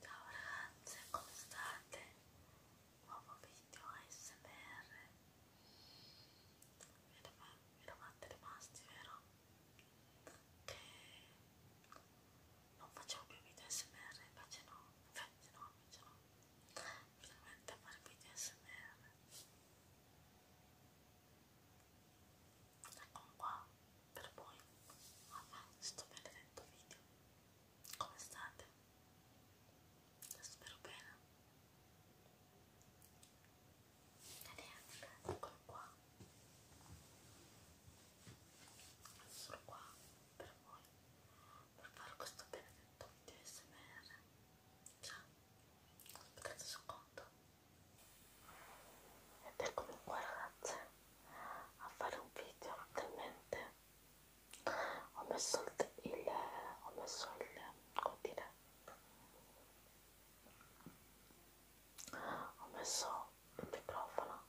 Ciao ragazze, come state? Nuovo video ASMR Vi eravate rimasti, vero? Che non facevo più video ASMR, invece no, invece no, invece no Finalmente a fare video ASMR Ecco qua, per voi a questo benedetto video. Come state? Spero bene. E niente, eccolo qua. Sono qua per voi per fare questo benedetto video SMR. Ciao, aspettate un secondo. Ed eccomi qua ragazze, a fare un video talmente ho messo il, il ho messo il come dire ho messo il microfono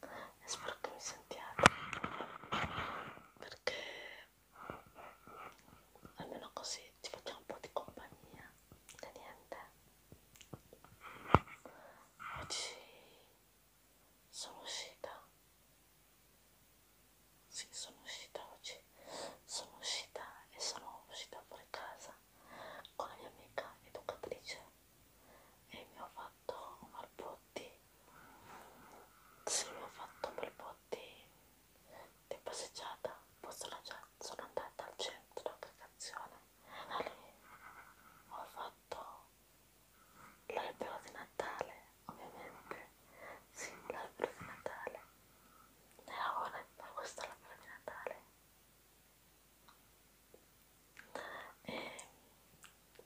e spero che mi sentiate perché almeno così ci facciamo un po' di compagnia e niente oggi sono uscita sì sono uscita oggi sono uscita e sono uscita fuori casa con la mia amica educatrice e mi ho fatto un balbotti sì mi ho fatto un balbotti di passeggiata poi sono, sono andata al centro di aggregazione e da lì ho fatto sotto l'albero di Natale, ovviamente, sì, l'albero di Natale, nella ora da questo albero di Natale e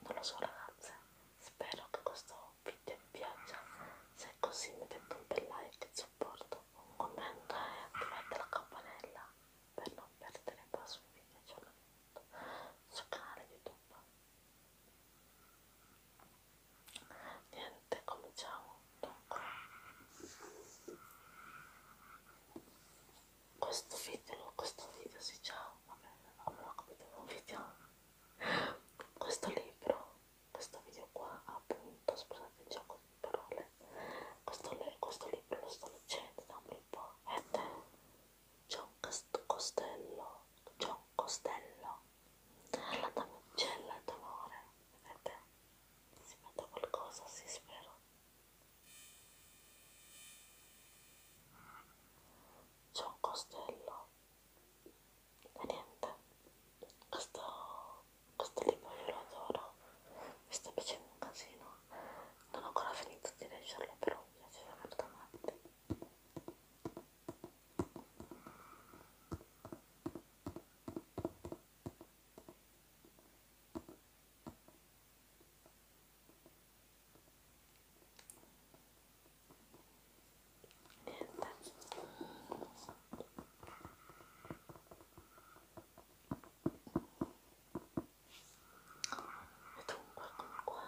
non lo so ragazze, spero che questo video vi piaccia, se è così mettete un bel like di supporto, un commento e attivate la campanella per non perdere i prossimi video sul canale YouTube. Niente, cominciamo. Dunque, questo video, questo video si sì, ciao, vabbè, non ho capito un video. Questo libro, questo video qua, appunto, scusate il gioco di parole, questo, questo libro lo sto succede da un bel po'? E te? C'è un costello, c'è un costello alla damigella d'onore, vedete? Si mette qualcosa, si sì, spero. C'è un costello e niente, questo, questo libro io lo adoro, mi sta piacendo un casino non ho ancora finito di leggerlo però mi piaceva fortemente Niente mettiamo un qualcuno qua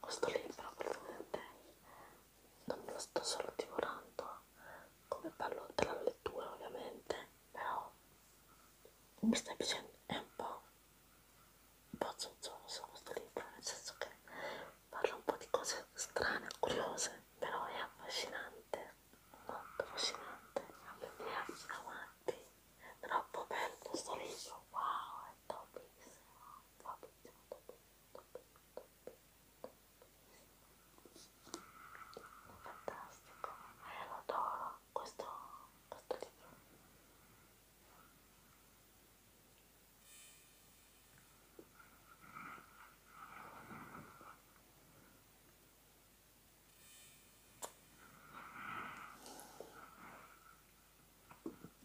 questo libro praticamente non me lo sto solo divorando come parlo della lettura ovviamente però mi sta piacendo è un po' un po' zozzone su questo libro, nel senso che parla un po' di cose strane, curiose, però è affascinante, molto affascinante, a me piace davanti, è troppo bello sto libro, wow, è topissimo, topissimo, topissimo, topissimo, topissimo. È fantastico, e eh, lo adoro questo, questo libro.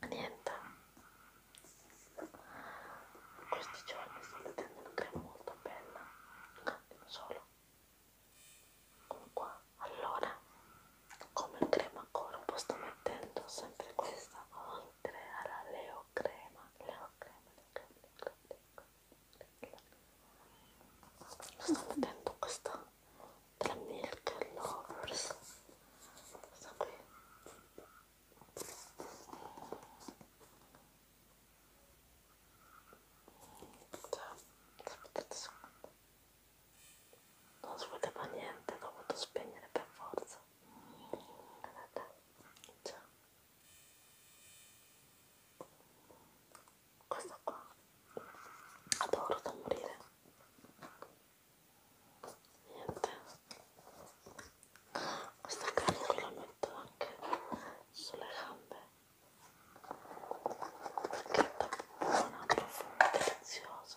Niente, questi giorni sto mettendo una crema molto bella, un attimo solo, come qua allora come crema corpo sto mettendo sempre questa oltre alla leo crema leo crema leo crema, leo crema, leo crema. sto mettendo questa della milk lovers questa qui questa, cioè, potete non svedeva niente, l'ho dovuto spegnere per forza. Vedete? Già. Cioè. Questa qua adoro da morire. Niente. Questa cazzo la metto anche sulle gambe perché è un profumo delizioso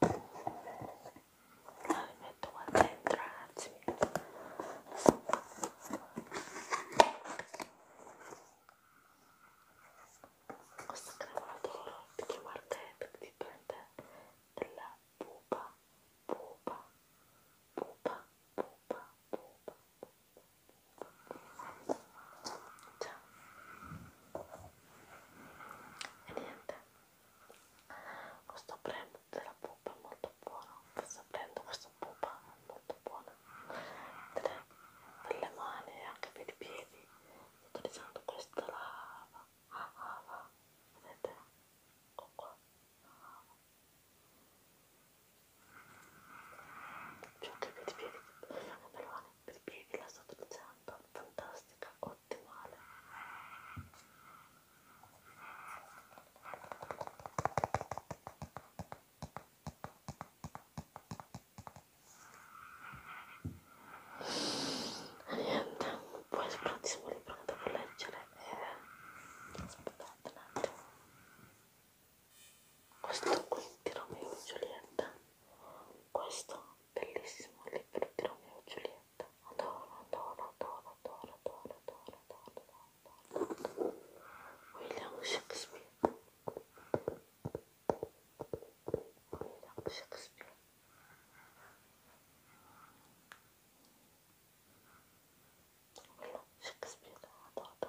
Dai, metto qua dentro ragazzi questa crema la adoro perché marchetta che dipende dalla pupa pupa pupa pupa pupa ciao e niente questo premo della pupa è molto buono forse prendo questa pupa è molto buona Tre, per le mani e anche per i piedi sto utilizzando questa lava ah, ah, ah. vedete? ecco qua ah, ah. più anche per i piedi per le mani per i piedi la sto utilizzando fantastica ho ottimale e niente poi sicuramente libro che devo leggere e aspettate un attimo questo qui di Romeo e Giulietta questo bellissimo libro di Romeo e Giulietta William Shakespeare. William Shakespeare. William Shakespeare adorda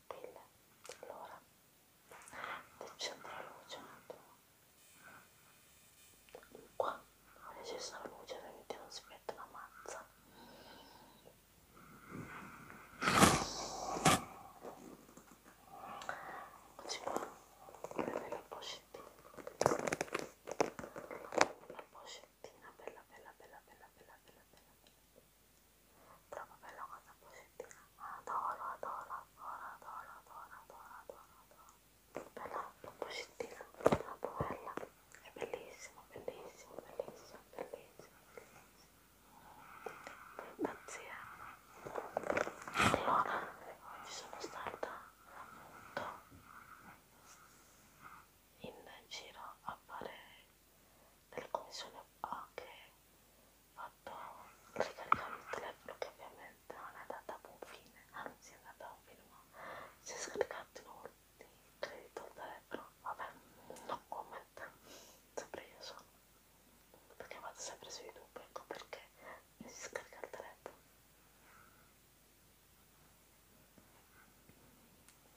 stelle. Allora, accendo la luce un attimo. Qua ho acceso la luce perché non si mette la mazza. Così qua, prende la pochettina. La pochettina bella bella bella bella bella bella bella bella bella Troppo bella cosa positiva. Adoro, adoro, adoro, adoro, adoro, adoro, adoro, adoro. Bella, positiva, troppo bella. È bellissimo, bellissimo, bellissimo, bellissimo, bellissimo. Pazzia. Allora, oggi sono stata appunto in giro a fare delle commissioni anche fatto ricaricare il telefono che ovviamente non è andata a buon fine anzi è andata a un fine ma si è scaricato in un di credito il telefono vabbè non commenta sempre io sono perché vado sempre su youtube ecco perché mi si scarica il telefono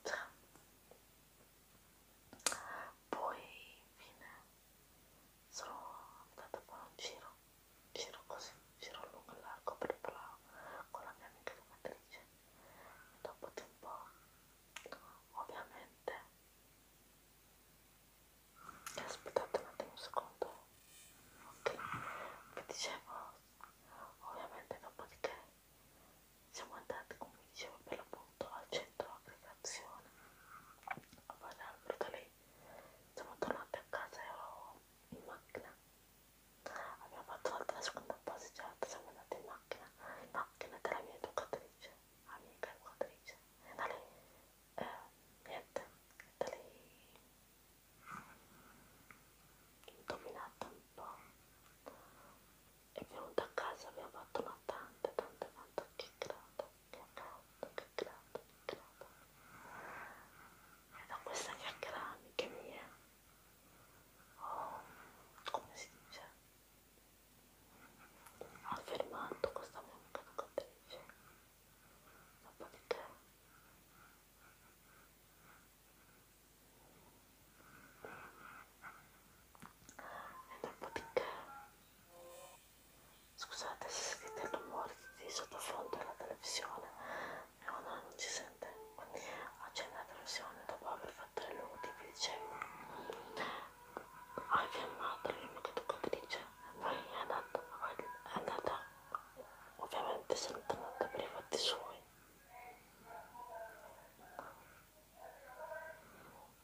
ciao poi fine sono andata a fare un giro giro così giro lungo e largo per la, con la mia amica educatrice e dopo di un po' ovviamente aspettate un attimo un secondo ok vi dicevo ovviamente dopodiché siamo andati come vi dicevo per l'appunto al centro aggregazione a fare l'albero lì siamo tornati a casa ero in macchina abbiamo fatto un'altra seconda passeggiata siamo andati in macchina in macchina della mia educatrice amica educatrice e da lì eh, niente da lì ho dominato un po' è venuta a casa abbiamo fatto una tanta tanta tanta chiacchierata chiacchierata chiacchierata chiacchierata e da questa chiacchierata amica mia oh, come si dice ha fermato questa mia amica educatrice dopodiché è troppo piccante scusate se sentite il rumore di sottofondo alla televisione no no non si sente accendo la televisione dopo aver fatto le lunghe vi dicevo hai chiamato l'uno che tu come dice poi è andata è andata ovviamente sono tornata per i fatti suoi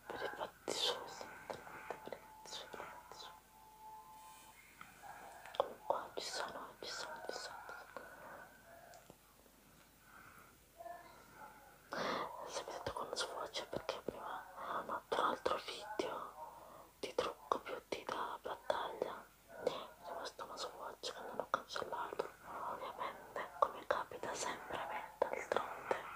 per i fatti suoi esattamente per i fatti suoi fatti suoi comunque ci sono ci sono ci sono sapete quando sfocia perché prima ho fatto un altro video di trucco più di da battaglia è rimasto una swatch che non ho cancellato ovviamente come capita sempre a me d'altronde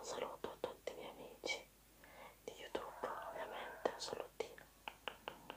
Un saluto a tutti i miei amici di YouTube, ovviamente, un salutino. Ciao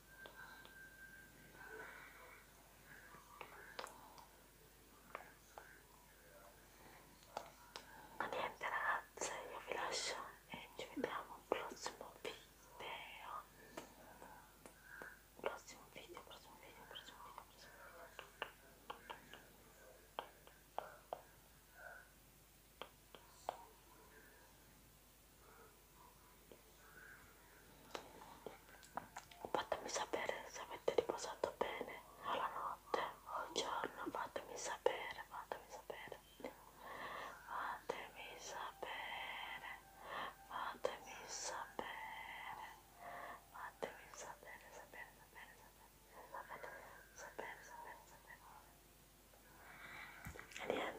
Ma niente ragazze, io vi lascio e ci vediamo al prossimo video. Prossimo video, prossimo video, prossimo video, prossimo video. Fatemi sapere se avete riposato bene alla notte o al giorno, fatemi sapere, fatemi sapere, fatemi sapere, fatemi sapere, fatemi sapere, sapere, sapere, sapere, sapere, sapere, sapere, sapere. E niente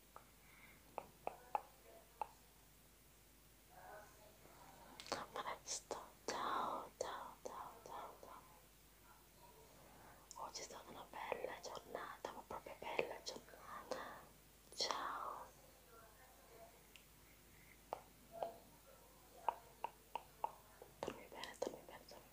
Come on, stop. Ciao, ciao, ciao, ciao, Oggi è una bella giornata, ma proprio bella giornata. Ciao. Dormi bene, dormi bene, dormi